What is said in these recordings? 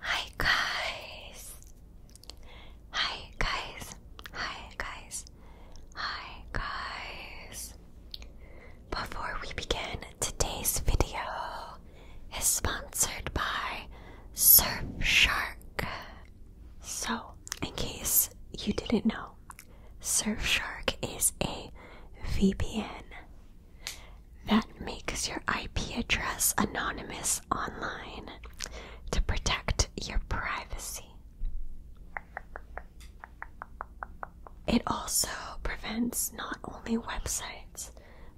Hi guys. Hi guys. Hi guys. Hi guys. Before we begin, today's video is sponsored by Surfshark. So, in case you didn't know, Surfshark is a VPN that makes your IP address anonymous online to protect your privacy. It also prevents not only websites,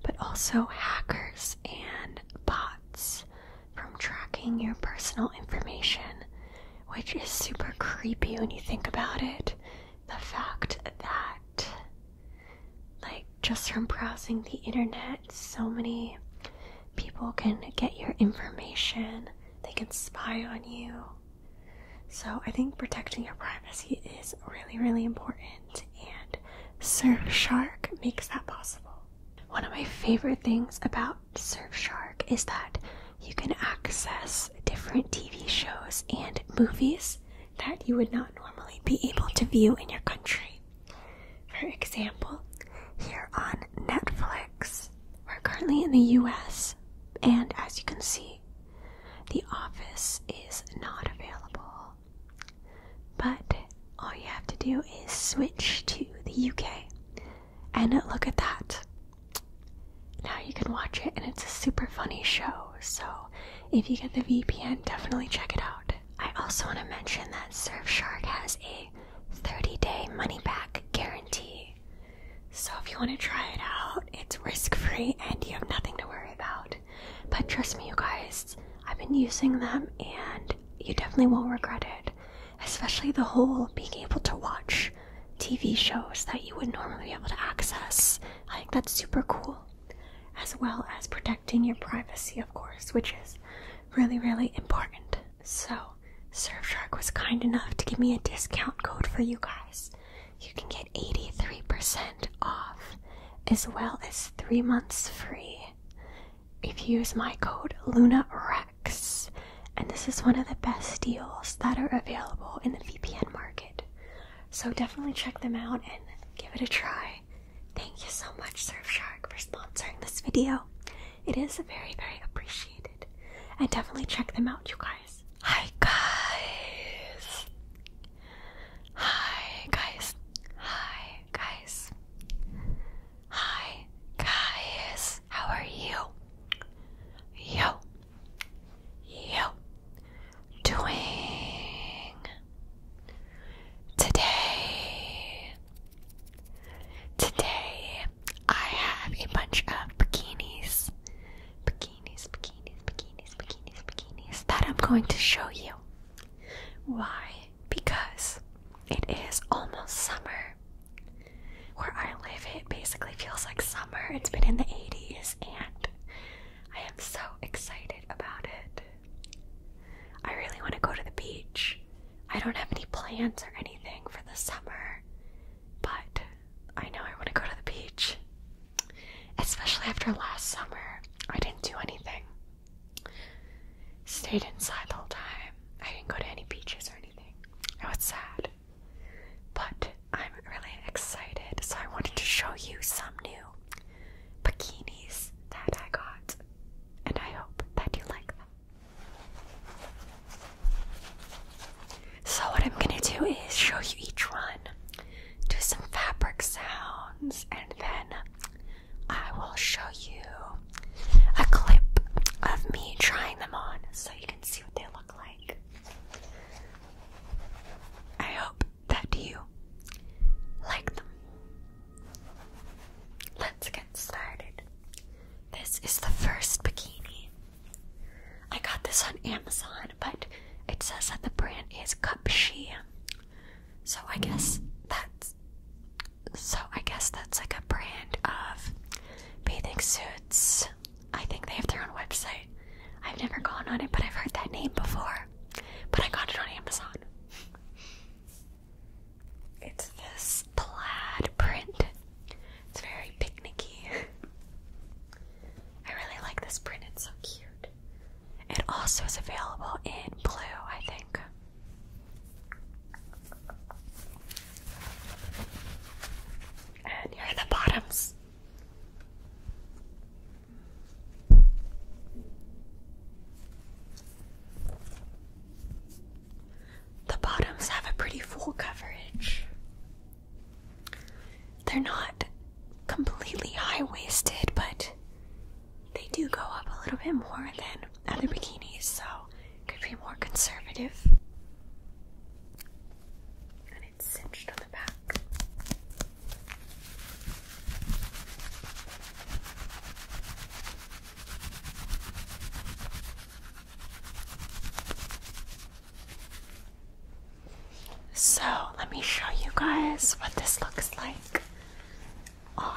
but also hackers and bots from tracking your personal information, which is super creepy when you think about it. The fact that like, just from browsing the internet, so many people can get your information, they can spy on you. So, I think protecting your privacy is really, really important, and Surfshark makes that possible. One of my favorite things about Surfshark is that you can access different TV shows and movies that you would not normally be able to view in your country. For example, here on Netflix, we're currently in the US, and as you can see, The Office is not available. But all you have to do is switch to the UK and look at that. Now you can watch it, and it's a super funny show, so if you get the VPN, definitely check it out. I also want to mention that Surfshark has a 30 day money back guarantee. So if you want to try it out, it's risk free and you have nothing to worry about. But trust me, you guys, I've been using them and you definitely won't regret it. Especially the whole being able to watch TV shows that you would normally be able to access. I think that's super cool as well as protecting your privacy, of course, which is really, really important. So, Surfshark was kind enough to give me a discount code for you guys. You can get 83% off as well as three months free if you use my code LunaRex. And this is one of the best deals that are available in the VPN market. So definitely check them out and give it a try. Thank you so much, Surfshark, for sponsoring this video. It is very, very appreciated. And definitely check them out, you guys. Hi, guys. Hi, guys. Hi, guys. Hi, guys. How are you? Yo, you doing today? Today I have a bunch of bikinis, bikinis, bikinis, bikinis, bikinis, bikinis that I'm going to show you. Why? Because it is almost summer. Where I live, it basically feels like summer. It's been in the 80s, and I am so excited about it. I really want to go to the beach. I don't have any plans or anything for the summer, but I know I want to go to the beach. Especially after last summer, I didn't do anything. Stayed inside the whole time. I didn't go to any beaches or anything. I was sad. But I'm really excited, so I wanted to show you some new bikinis that I got, and I hope that you like them. So, what I'm gonna do is show you each one, do some fabric sounds, and then I will show you a clip of me trying them on so you can see what they look like. I hope that you like them. Let's get started. This is the first bikini. I got this on Amazon, but it says that the brand is Cupshe. So I guess that's so I guess that's like a brand of bathing suits I think they have their own website. I've never gone on it, but I've heard that name before. But I got it on Amazon. It's this plaid print. It's very picnicky. I really like this print, it's so cute. It also is available in blue, I think. And here are the bottoms. The bottoms have a pretty full coverage. They're not completely high waisted, but they do go up a little bit more than other bikinis, so could be more conservative cinched on the back. So, let me show you guys what this looks like on.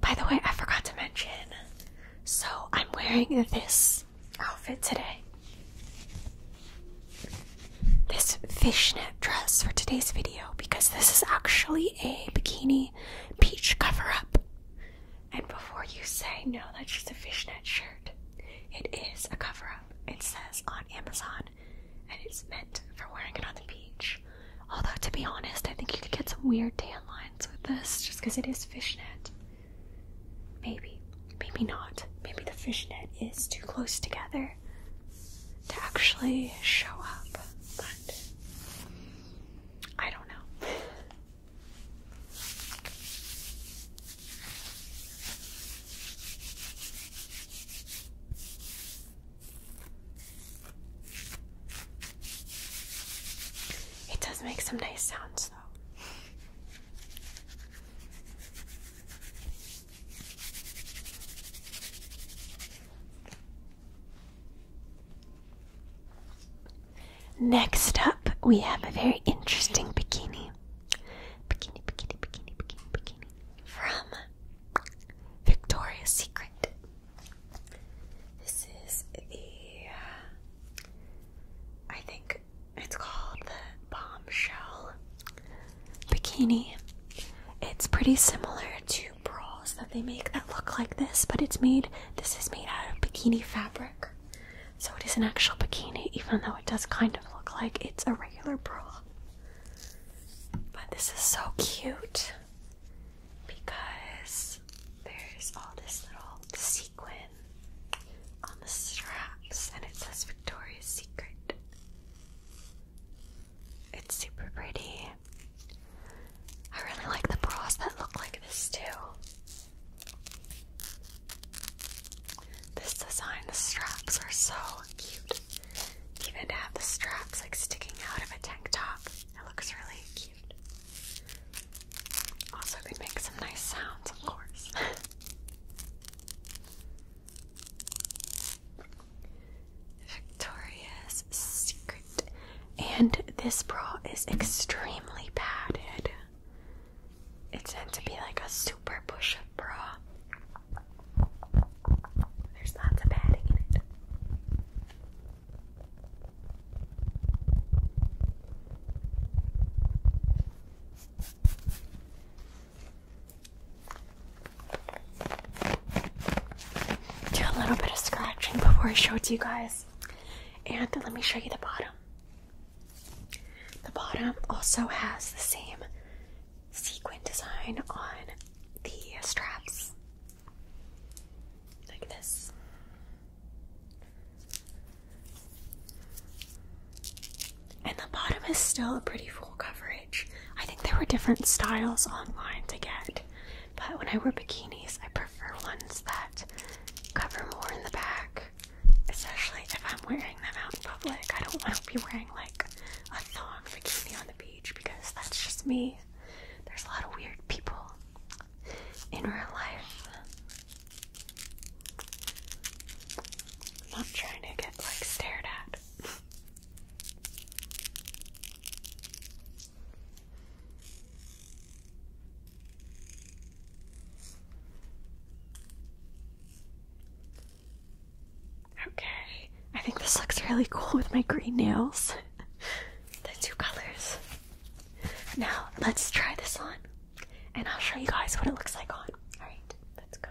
By the way, I forgot to mention. So, I'm wearing this outfit today. This fishnet dress for today's video because this is actually a bikini peach cover up. And before you say, no, that's just a fishnet shirt, it is a cover up. It says on Amazon, and it's meant for wearing it on the beach. Although, to be honest, I think you could get some weird tan lines with this just because it is fishnet. Maybe, maybe not. Maybe the fishnet is too close together to actually show up. I don't know. It does make some nice sounds, though. Next up, we have a very interesting bikini. Bikini, bikini, bikini, bikini, bikini. From Victoria's Secret. This is the, uh, I think it's called the Bombshell Bikini. It's pretty similar to two that they make that look like this, but it's made, this is made out of bikini fabric. So it is an actual bikini, even though it does kind of look like it's a regular bra. But this is so cute because there's all this little sequin on the straps and it says Victoria's Secret. It's super pretty. I really like the bras that look like this too. This design, the straps are so cute. Even to have the straps like sticking out of a tank top, it looks really cute. Also, they make some nice sounds, of course. Victoria's Secret. And this bra is extremely padded. It's meant to be like a super push up bra. There's lots of padding in it. Do a little bit of scratching before I show it to you guys. And let me show you the bottom. The bottom also has the same sequin design on the straps. Like this. And the bottom is still a pretty coverage. I think there were different styles online to get, but when I wear bikinis, I prefer ones that cover more in the back, especially if I'm wearing them out in public. I don't want to be wearing like a thong bikini on the beach because that's just me. There's a lot of weird people in real life. I'm not trying to get like stared at. Okay, I think this looks really cool with my green nails. the two colors. Now, let's try this on and I'll show you guys what it looks like on. Alright, let's go.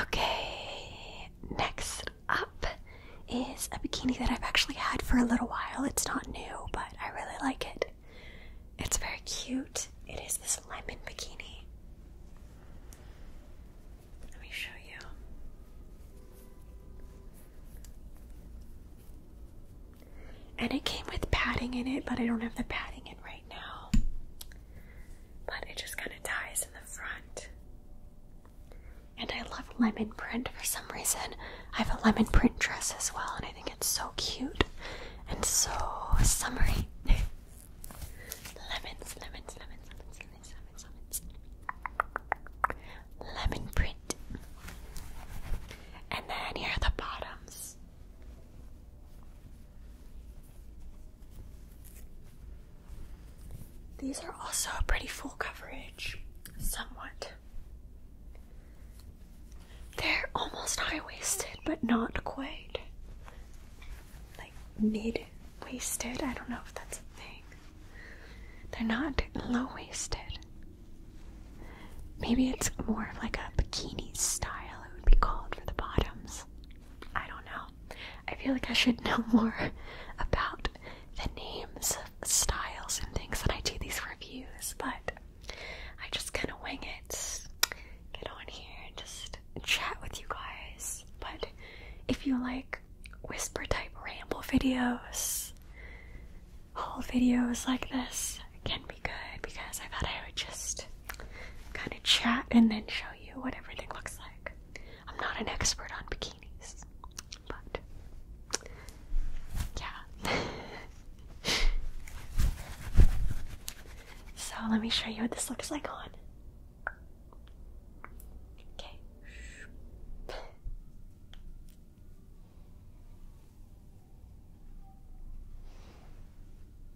Okay, next up is a bikini that I've actually had for a little while. It's not new, but I really like it. It's very cute. It is this lemon bikini. Let me show you. And it came with padding in it, but I don't have the padding in right now, but it just kind of ties in the front. And I love lemon print for some reason. I have a lemon print dress as well, and I think it's so cute and so summery. lemons, lemons, lemons, lemons, lemons, lemons, lemons. Lemon print. And then here are the bottoms. These are also a pretty full coverage, somewhat. They're almost high waisted, but not quite. Like mid waisted, I don't know if that's a thing. They're not low waisted. Maybe it's more of like a bikini style, it would be called for the bottoms. I don't know. I feel like I should know more about the names of styles and things when I do these reviews, but I just kind of wing it. Get on here and just chat with you guys. But if you like whisper type ramble videos, whole videos like this can be good because I thought I would just kind of chat and then show you what everything looks like. I'm not an expert on bikinis, so let me show you what this looks like on.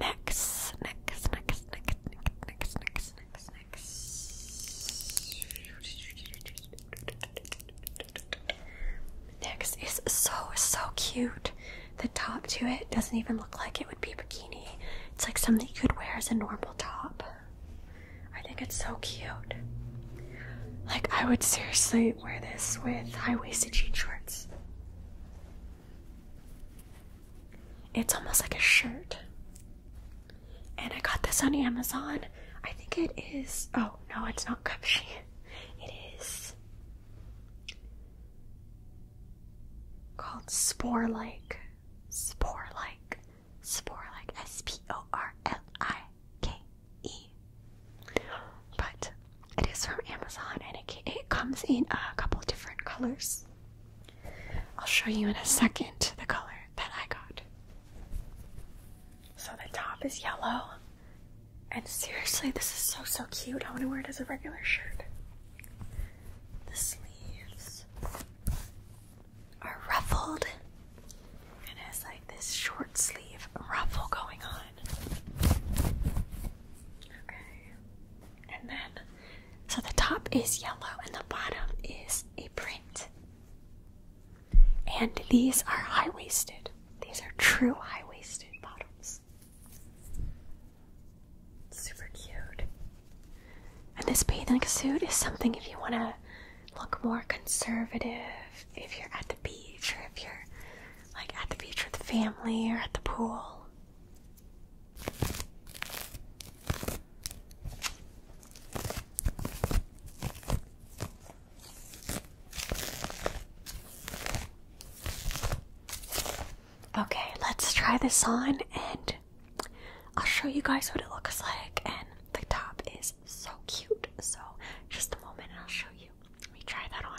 Next, next, next, next, next, next, next, next. Next is so so cute. The top to it doesn't even look like it would be bikini. It's like something you could wear as a normal top. I think it's so cute. Like I would seriously wear this with high-waisted jean shorts. It's almost like a shirt. And I got this on Amazon. I think it is. Oh, no, it's not Cupshe. It is called Spore Like. Spore Like. Spore Like. S P O R L I K E. But it is from Amazon and it, comes in a couple different colors. I'll show you in a second the color that I got. So the top is yellow. And seriously, this is so so cute. I want to wear it as a regular shirt. The sleeves are ruffled. And has like this short sleeve ruffle going on. Okay. And then, so the top is yellow and the bottom is a print. And these are high waisted. These are true high waisted bottoms. Super cute. And this bathing suit is something if you want to look more conservative, if you're at the beach or if you're like at the beach with family or at the pool. Okay, let's try this on and I'll show you guys what it looks like. And the top is so cute. So, just a moment and I'll show you. Let me try that on.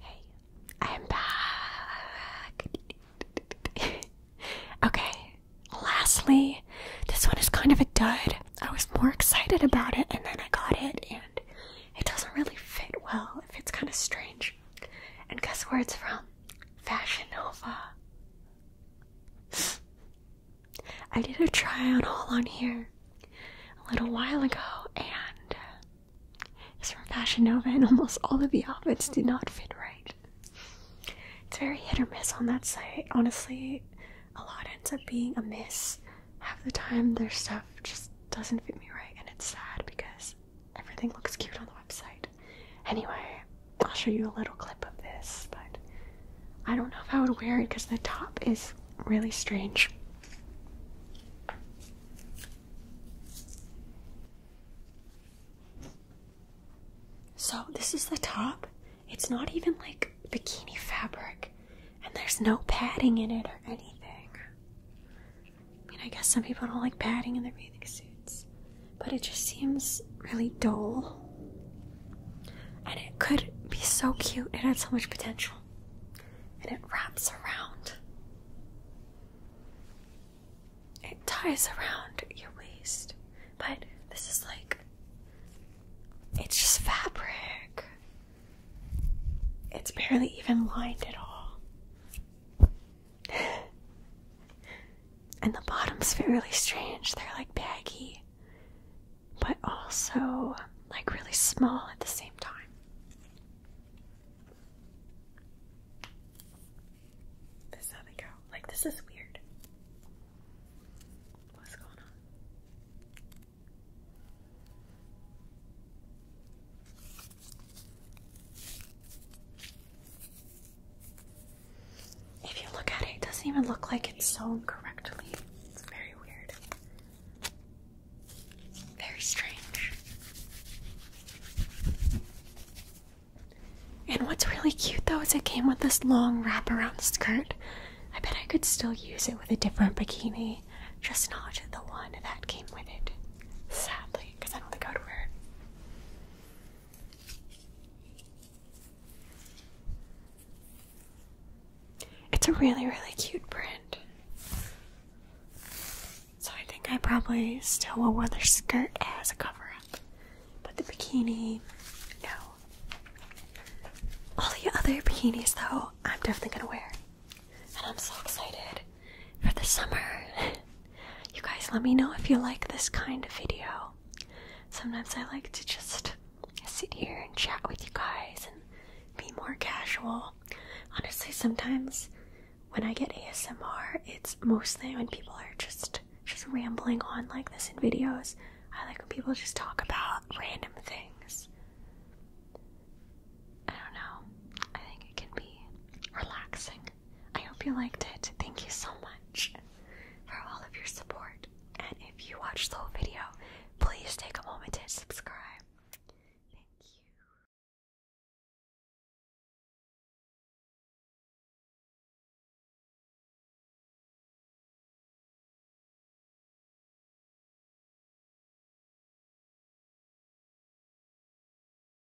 Hey, I'm back. okay, lastly, this one is kind of a dud. I was more excited about it and then I got it, and it doesn't really fit well. It fits kind of strange. And guess where it's from? Fashion Nova. I did a try on haul on here a little while ago, and it's from Fashion Nova, and almost all of the outfits did not fit right. It's very hit or miss on that site. Honestly, a lot ends up being a miss. Half the time, their stuff just doesn't fit me right, and it's sad because everything looks cute on the website. Anyway, I'll show you a little clip of this, but I don't know if I would wear it because the top is really strange. So, this is the top. It's not even like bikini fabric, and there's no padding in it or anything. I mean, I guess some people don't like padding in their bathing suit but it just seems really dull. And it could be so cute, it has so much potential. And it wraps around, it ties around your waist, but this is like it's just fabric. It's barely even lined at all and the bottoms fit really strange. They're like baggy, but also like really small at the same time. This they go. Like, this is weird. What's going on? If you look at it, it doesn't even look like it's sewn correctly. It's very weird. Very strange. And what's really cute though is it came with this long wrap around skirt. I bet I could still use it with a different bikini, just not the one that came with it. Sadly, because I don't think I would wear it. It's a really, really cute print. So I think I probably still will wear this skirt as a cover up. But the bikini, no. All the other bikinis, though, I'm definitely gonna wear. And I'm so excited for the summer. you guys, let me know if you like this kind of video. Sometimes I like to just sit here and chat with you guys and be more casual. Honestly, sometimes when I get ASMR, it's mostly when people are just just rambling on like this in videos. I like when people just talk about random things. I don't know. I think it can be relaxing. I hope you liked it. Thank you so much for all of your support. And if you watched the whole video, please take a moment to subscribe. Thank you.